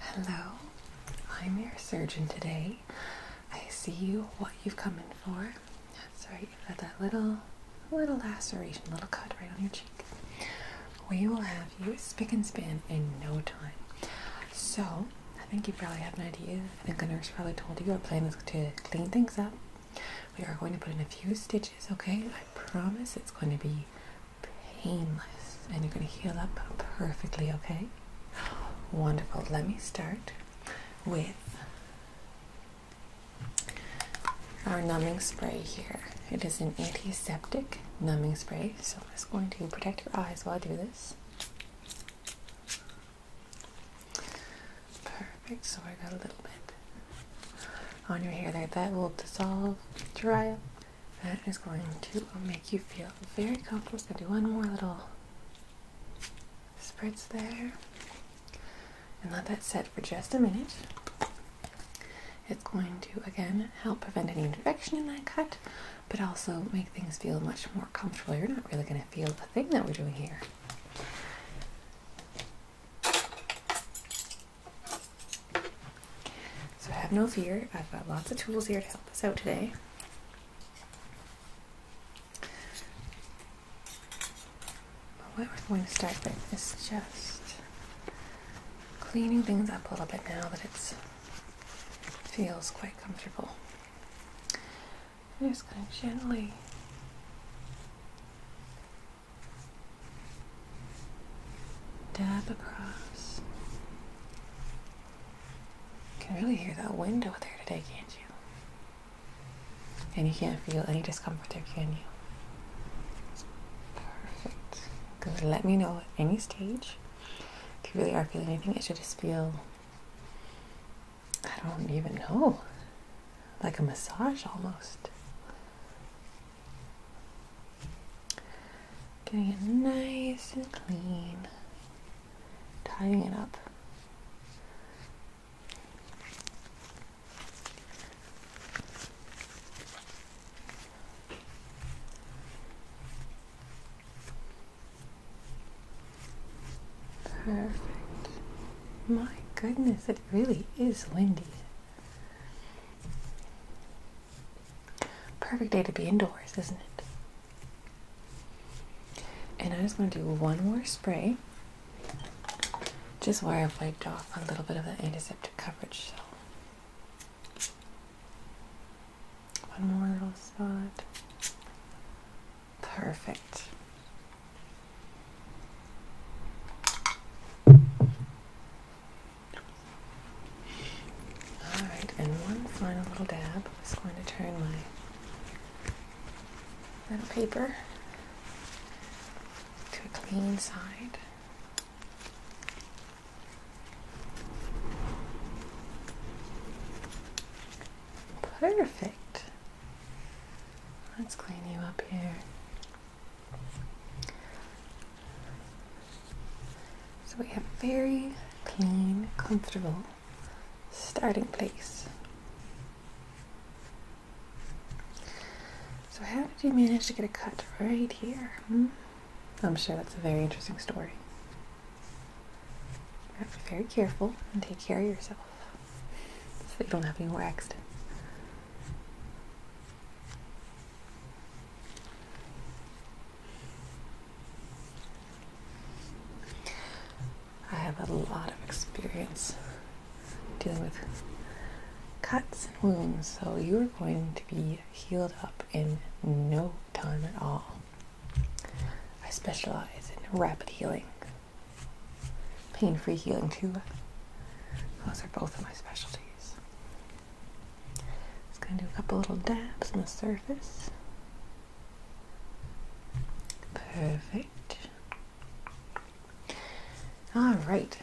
Hello, I'm your surgeon today. I see you, what you've come in for. That's right, you've got that little, little laceration, little cut right on your cheek. We will have you spick and span in no time. So, I think you probably have an idea. I think the nurse probably told you our plan is to clean things up. We are going to put in a few stitches, okay? promise it's going to be painless and you're going to heal up perfectly, okay? Wonderful. Let me start with our numbing spray here. It is an antiseptic numbing spray, so I'm just going to protect your eyes while I do this. Perfect. So I got a little bit on your hair there. That will dissolve, dry up. That is going to make you feel very comfortable. Going to do one more little spritz there. And let that set for just a minute. It's going to, again, help prevent any infection in that cut, but also make things feel much more comfortable. You're not really going to feel the thing that we're doing here. So have no fear, I've got lots of tools here to help us out today. But what we're going to start with is just cleaning things up a little bit now that it feels quite comfortable. I'm just going to gently dab across. You can really hear that wind over there today, can't you? And you can't feel any discomfort there, can you? Perfect. Let me know at any stage if you really are feeling anything. It should just feel I don't even know. Like a massage almost. Getting it nice and clean. Tying it up. Perfect. My goodness, it really is windy. Perfect day to be indoors, isn't it? And I just want to do one more spray. Just where I've wiped off a little bit of the antiseptic coverage. So one more little spot. Perfect. All right, and one final little dab. I'm just going to turn my little paper to a clean side. Perfect. Let's clean you up here. So we have a very clean, comfortable starting place. So how did you manage to get a cut right here? Hmm? I'm sure that's a very interesting story be very careful and take care of yourself so you don't have any more accidents. I have a lot of experience dealing with cuts and wounds, so you are going to be healed up in no time at all. I specialize in rapid healing, pain free healing, too. Those are both of my specialties. Just gonna do a couple little dabs on the surface. Perfect. All right,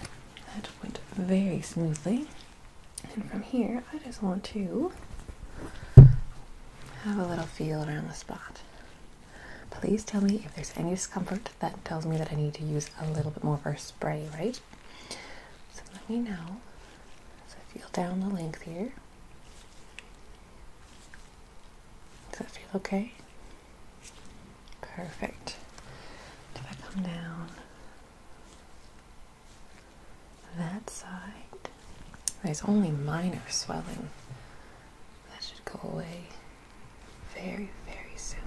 that went very smoothly. And from here, I just want to have a little feel around the spot. Please tell me if there's any discomfort that tells me that I need to use a little bit more of our spray, right? So let me know. So feel down the length here. Does that feel okay? Perfect. If I come down, that side. There's only minor swelling. That should go away very, very soon.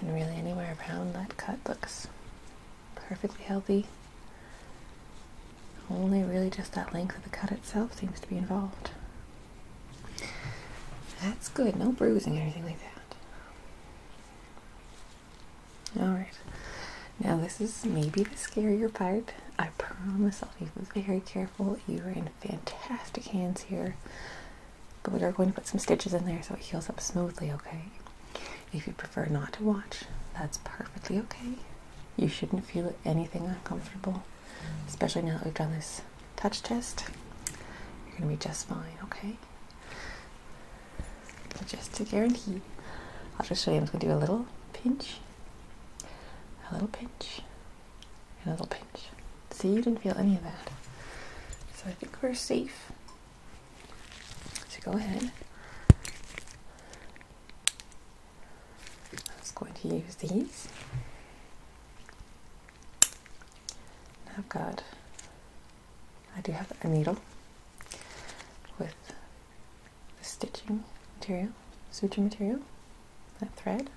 And really, anywhere around that cut looks perfectly healthy. Only really just that length of the cut itself seems to be involved. That's good. No bruising or anything like that. Alright. Now, this is maybe the scarier part. I promise I'll be very careful. You are in fantastic hands here. But we are going to put some stitches in there so it heals up smoothly, okay? If you prefer not to watch, that's perfectly okay. You shouldn't feel anything uncomfortable, especially now that we've done this touch test, you're going to be just fine, okay? just to guarantee, I'll just show you, I'm just going to do a little pinch, a little pinch, and a little pinch. See, you didn't feel any of that. So I think we're safe. So go ahead. I'm just going to use these. I've oh, got, I do have a needle with the stitching material, suture material, that thread.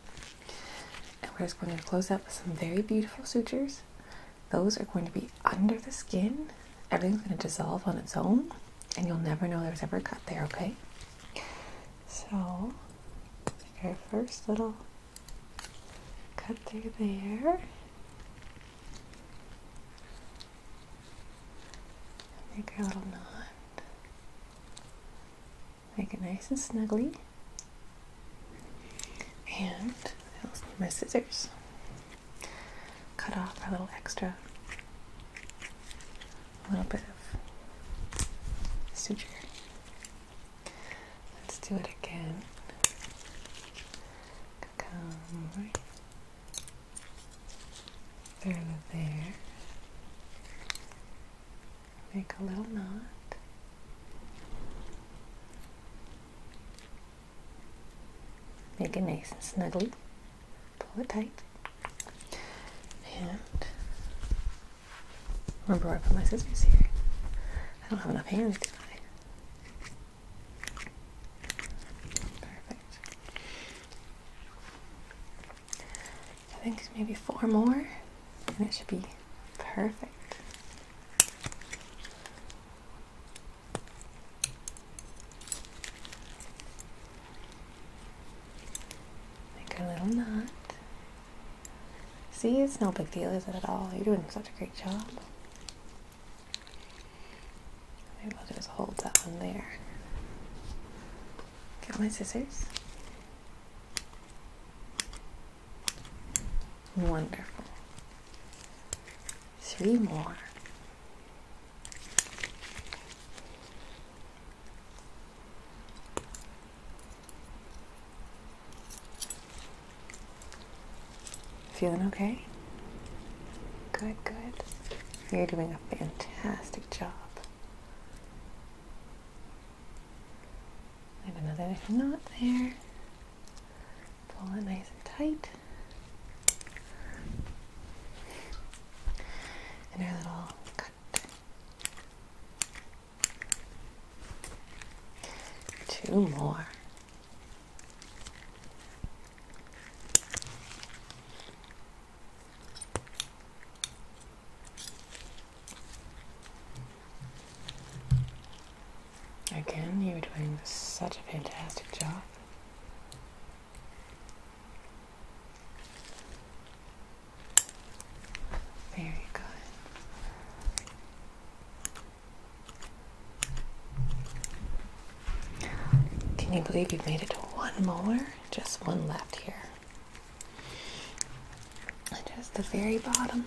And we're just going to close up some very beautiful sutures. Those are going to be under the skin. Everything's going to dissolve on its own, and you'll never know there was ever a cut there, okay? So, like our first little cut through there. Make a little knot. Make it nice and snuggly. And I also need my scissors. Cut off our little extra a little bit of suture. Let's do it again. Come through there. Make a little knot. Make it nice and snugly. Pull it tight. And Remember where I put my scissors here. I don't have enough hands, I? Perfect. I think it's maybe four more, and it should be perfect. Make a little knot. See, it's no big deal, is it at all? You're doing such a great job. Maybe I'll just hold that one there. Get my scissors. Wonderful. Three more. Feeling okay? Good, good. You're doing a fantastic job. another knot there. Pull it nice and tight. And our little Two more. Again, you're doing such a fantastic job. Very good. Can you believe you've made it to one more? Just one left here. Just the very bottom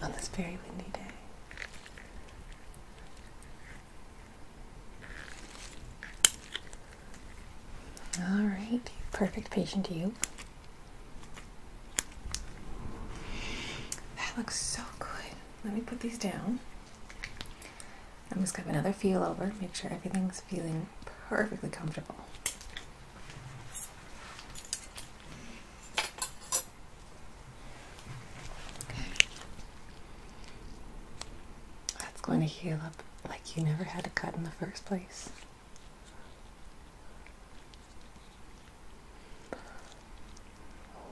on oh, this very windy day. All right, perfect patient you. That looks so good. Let me put these down. I'm just gonna have another feel over, make sure everything's feeling perfectly comfortable. That's going to heal up like you never had a cut in the first place.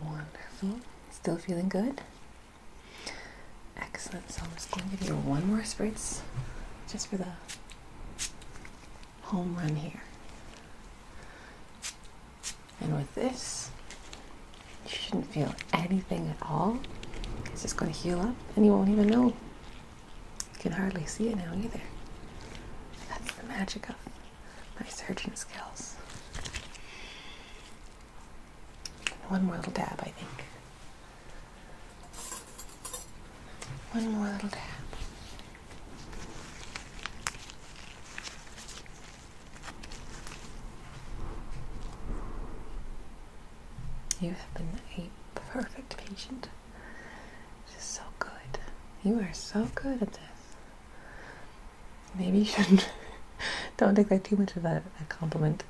Wonderful. Still feeling good? Excellent. So I'm just going to give you one more spritz just for the home run here. And with this, you shouldn't feel anything at all. It's just going to heal up and you won't even know. You can hardly see it now either. That's the magic of my surgeon skills. One more little dab, I think. One more little dab. You have been a perfect patient. Just so good. You are so good at this. Maybe you shouldn't. Don't take that too much of a, a compliment.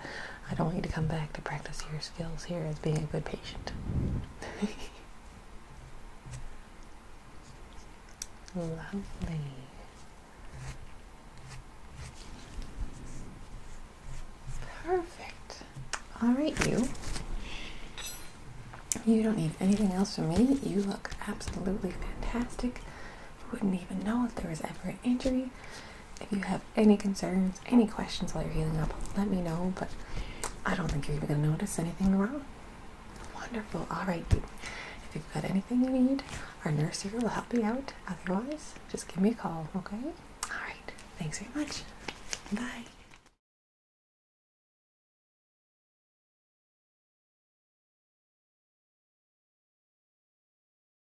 I don't want you to come back to practice your skills here as being a good patient. Lovely. Perfect. All right, you. You don't need anything else from me. You look absolutely fantastic. wouldn't even know if there was ever an injury. If you have any concerns, any questions while you're healing up, let me know. But I don't think you're even going to notice anything wrong. Wonderful. All right, If you've got anything you need, our nurse here will help you out. Otherwise, just give me a call, okay? All right. Thanks very much. Bye.